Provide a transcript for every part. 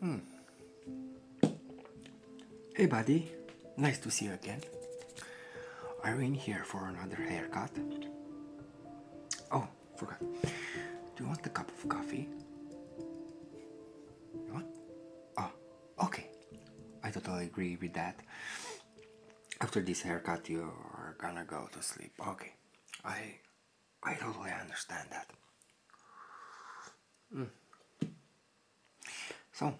Hmm. Hey, buddy. Nice to see you again. Are you in here for another haircut? Oh, forgot. Do you want a cup of coffee? You Oh, okay. I totally agree with that. After this haircut, you are gonna go to sleep. Okay. I I don't really understand that. Hmm. So,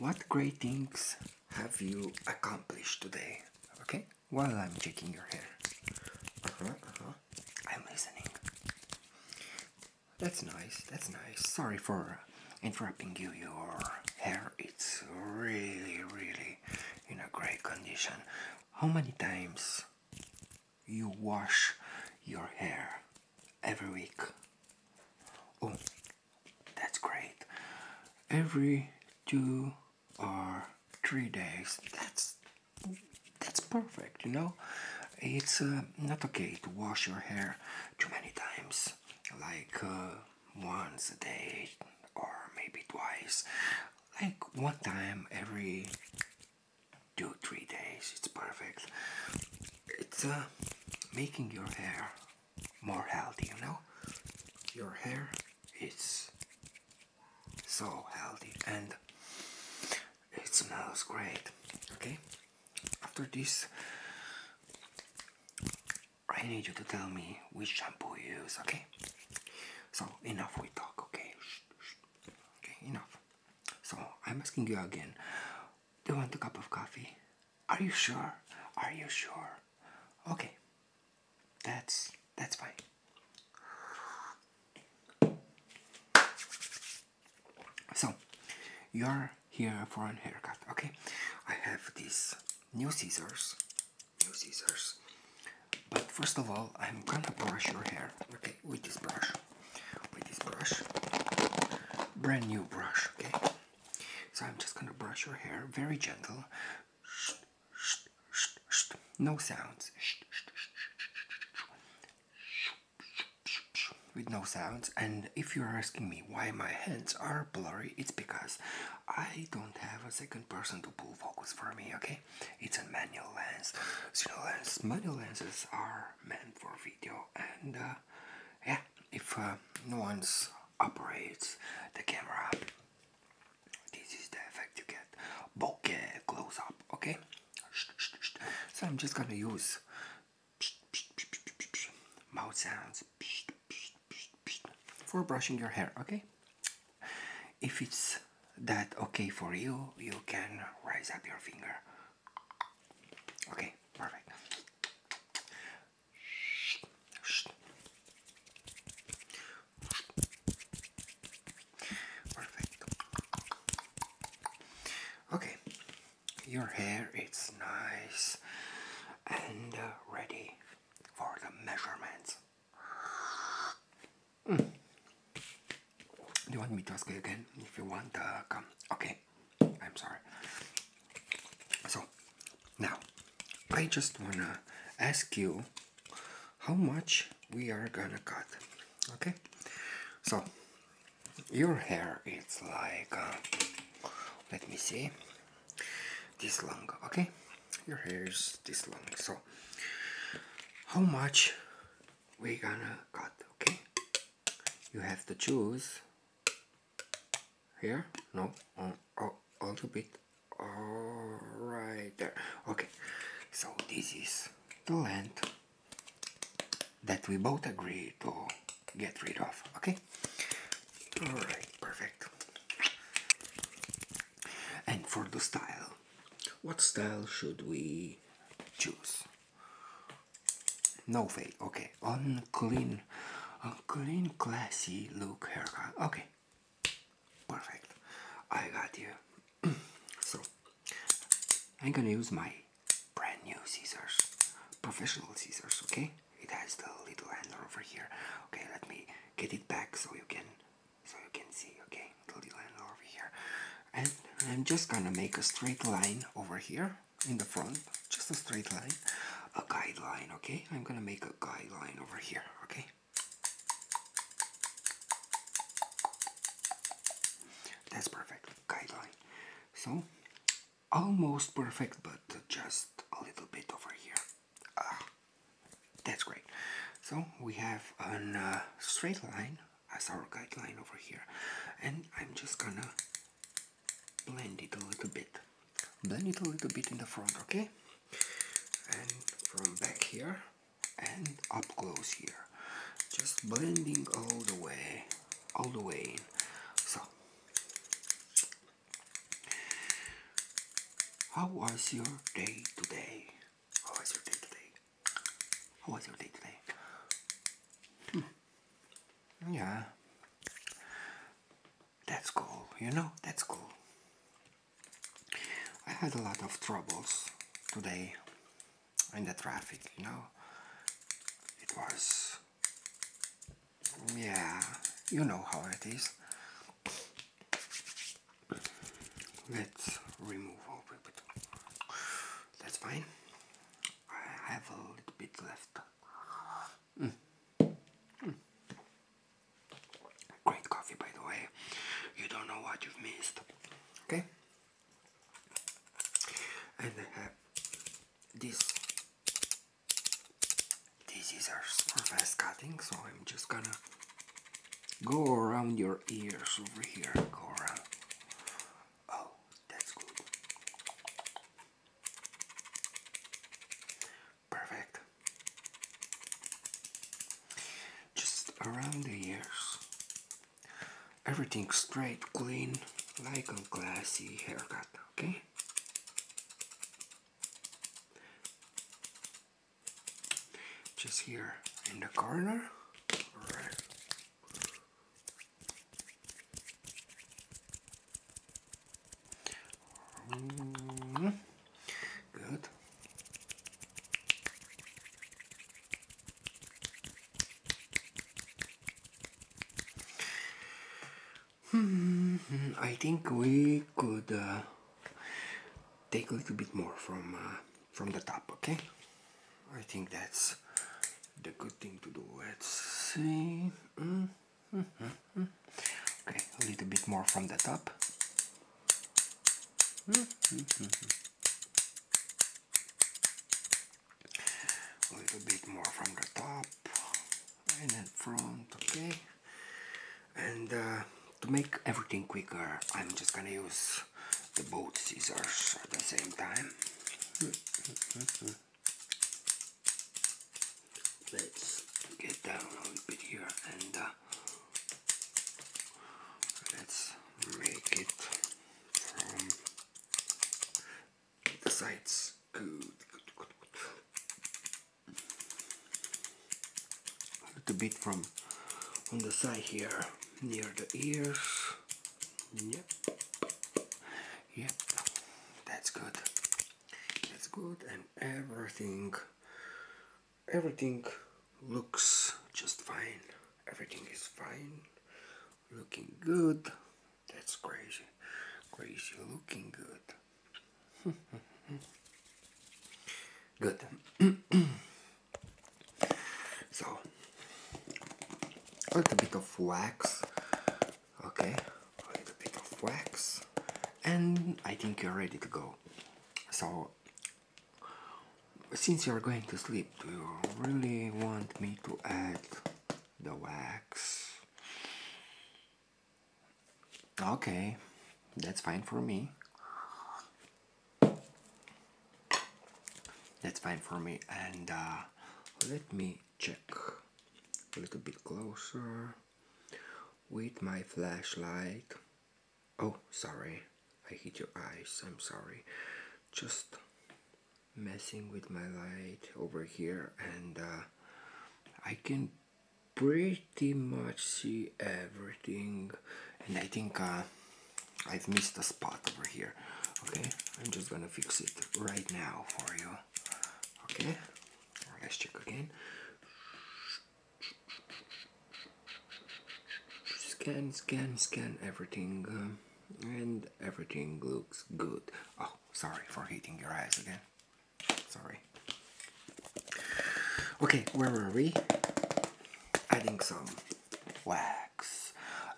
what great things have you accomplished today? Okay, while I'm checking your hair. Uh-huh, uh-huh. I'm listening. That's nice, that's nice. Sorry for interrupting you. Your hair, it's really, really in a great condition. How many times you wash your hair every week? Oh, that's great. Every two or three days. That's that's perfect, you know. It's uh, not okay to wash your hair too many times, like uh, once a day or maybe twice like one time every two three days it's perfect it's uh, making your hair more healthy you know your hair is so healthy and it smells great okay after this I need you to tell me which shampoo you use, okay? So, enough we talk, okay? Okay, enough. So, I'm asking you again. Do you want a cup of coffee? Are you sure? Are you sure? Okay. That's that's fine. So, you're here for a haircut, okay? I have these new scissors new scissors. But first of all, I'm gonna brush your hair. Okay, with this brush, with this brush, brand new brush. Okay, so I'm just gonna brush your hair very gentle. No sounds. With no sounds, and if you are asking me why my hands are blurry, it's because I don't have a second person to pull focus for me, okay? It's a manual lens. So, you lens, manual lenses are meant for video, and uh, yeah, if uh, no one's operates the camera, this is the effect you get. Bokeh close up, okay? So I'm just gonna use mouth sounds for brushing your hair, okay? If it's that okay for you, you can raise up your finger. Okay, perfect. Okay, your hair it's nice and uh, ready for the measurements. Hmm. Do you want me to ask you again if you want to uh, come? Okay, I'm sorry. So, now I just wanna ask you how much we are gonna cut. Okay, so your hair is like uh, let me see this long okay your hair is this long so how much we gonna cut okay you have to choose here no on, oh, a little bit right there okay so this is the length that we both agree to get rid of, okay? Alright, perfect. And for the style, what style should we choose? No fade, okay. Unclean, unclean, classy look haircut, okay. Perfect, I got you. so, I'm gonna use my brand new scissors, professional scissors, okay? It has the little handle over here. Okay, let me get it back so you can so you can see, okay? little handle over here. And I'm just gonna make a straight line over here in the front, just a straight line, a guideline, okay? I'm gonna make a guideline over here, okay? That's perfect, guideline. So almost perfect, but just a little bit over here. Ah, that's great. So we have a uh, straight line as our guideline over here, and I'm just gonna blend it a little bit. Blend it a little bit in the front, okay? And from back here and up close here. Just blending all the way all the way in. So, how was your day today? How was your day today? How was your day today? Hmm. Yeah. That's cool, you know, that's cool. I had a lot of troubles today in the traffic, you know. It was, yeah, you know how it is. Let's remove a little bit. That's fine. I have a little bit left. Mm. Mm. Great coffee, by the way. You don't know what you've missed. Okay? and I have this This is our first cutting so I'm just gonna go around your ears over here go oh that's good perfect just around the ears Everything straight, clean, like a classy haircut, okay? Just here in the corner. Right. Mm-hmm. Good. Hmm, I think we could uh, take a little bit more from uh, from the top, okay? I think that's the good thing to do. Let's see. Hmm, hmm, hmm, okay, a little bit more from the top a little bit more from the top and then front okay and uh, to make everything quicker I'm just gonna use the both scissors at the same time let's get down a little bit here and uh, Let's make it from the sides. Good, good, good, good. A little bit from on the side here, near the ears. Yep. Yep. That's good. That's good, and everything everything looks just fine everything is fine looking good that's crazy crazy looking good good so a little bit of wax okay a little bit of wax and I think you're ready to go so since you're going to sleep, do you really want me to add the wax? Okay, that's fine for me. That's fine for me. And uh, let me check a little bit closer with my flashlight. Oh, sorry. I hit your eyes. I'm sorry. Just messing with my light over here and uh, I can pretty much see everything and I think uh, I've missed a spot over here okay I'm just gonna fix it right now for you okay let's check again scan scan scan everything uh, and everything looks good oh sorry for hitting your eyes again sorry okay where were we adding some wax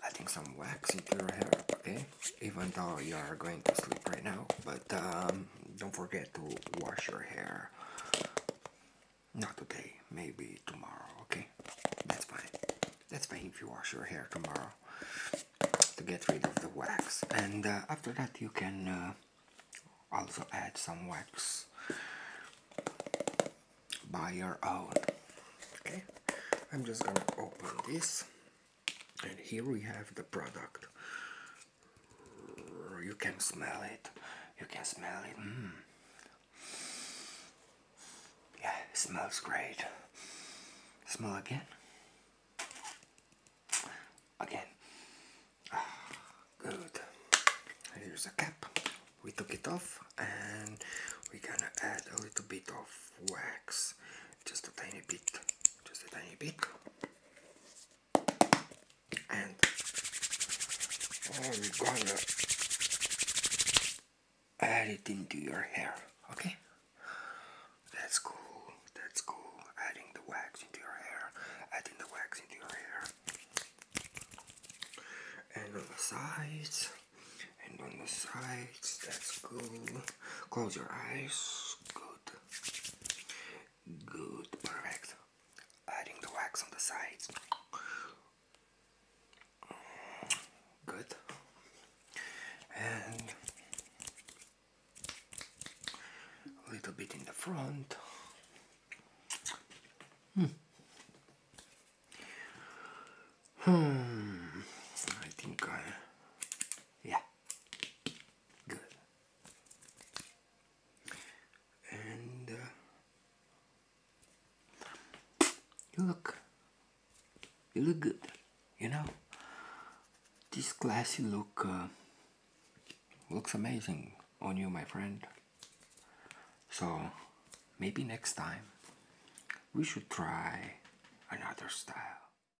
adding some wax into your hair okay even though you are going to sleep right now but um, don't forget to wash your hair not today, maybe tomorrow, okay? That's fine. That's fine if you wash your hair tomorrow to get rid of the wax. And uh, after that, you can uh, also add some wax by your own. Okay, I'm just gonna open this, and here we have the product. You can smell it. You can smell it. Mm. Yeah, it smells great. Smell again. Again. Ah, good. Here's a cap. We took it off and we're gonna add a little bit of wax. Just a tiny bit. Just a tiny bit and I'm gonna add it into your hair okay that's cool that's cool adding the wax into your hair adding the wax into your hair and on the sides and on the sides that's cool close your eyes good Good, perfect. Adding the wax on the sides. Good. And a little bit in the front. Hmm. Hmm. I think I. Uh, yeah. Good and uh, you look you look good you know this classy look uh, looks amazing on you my friend so maybe next time we should try another style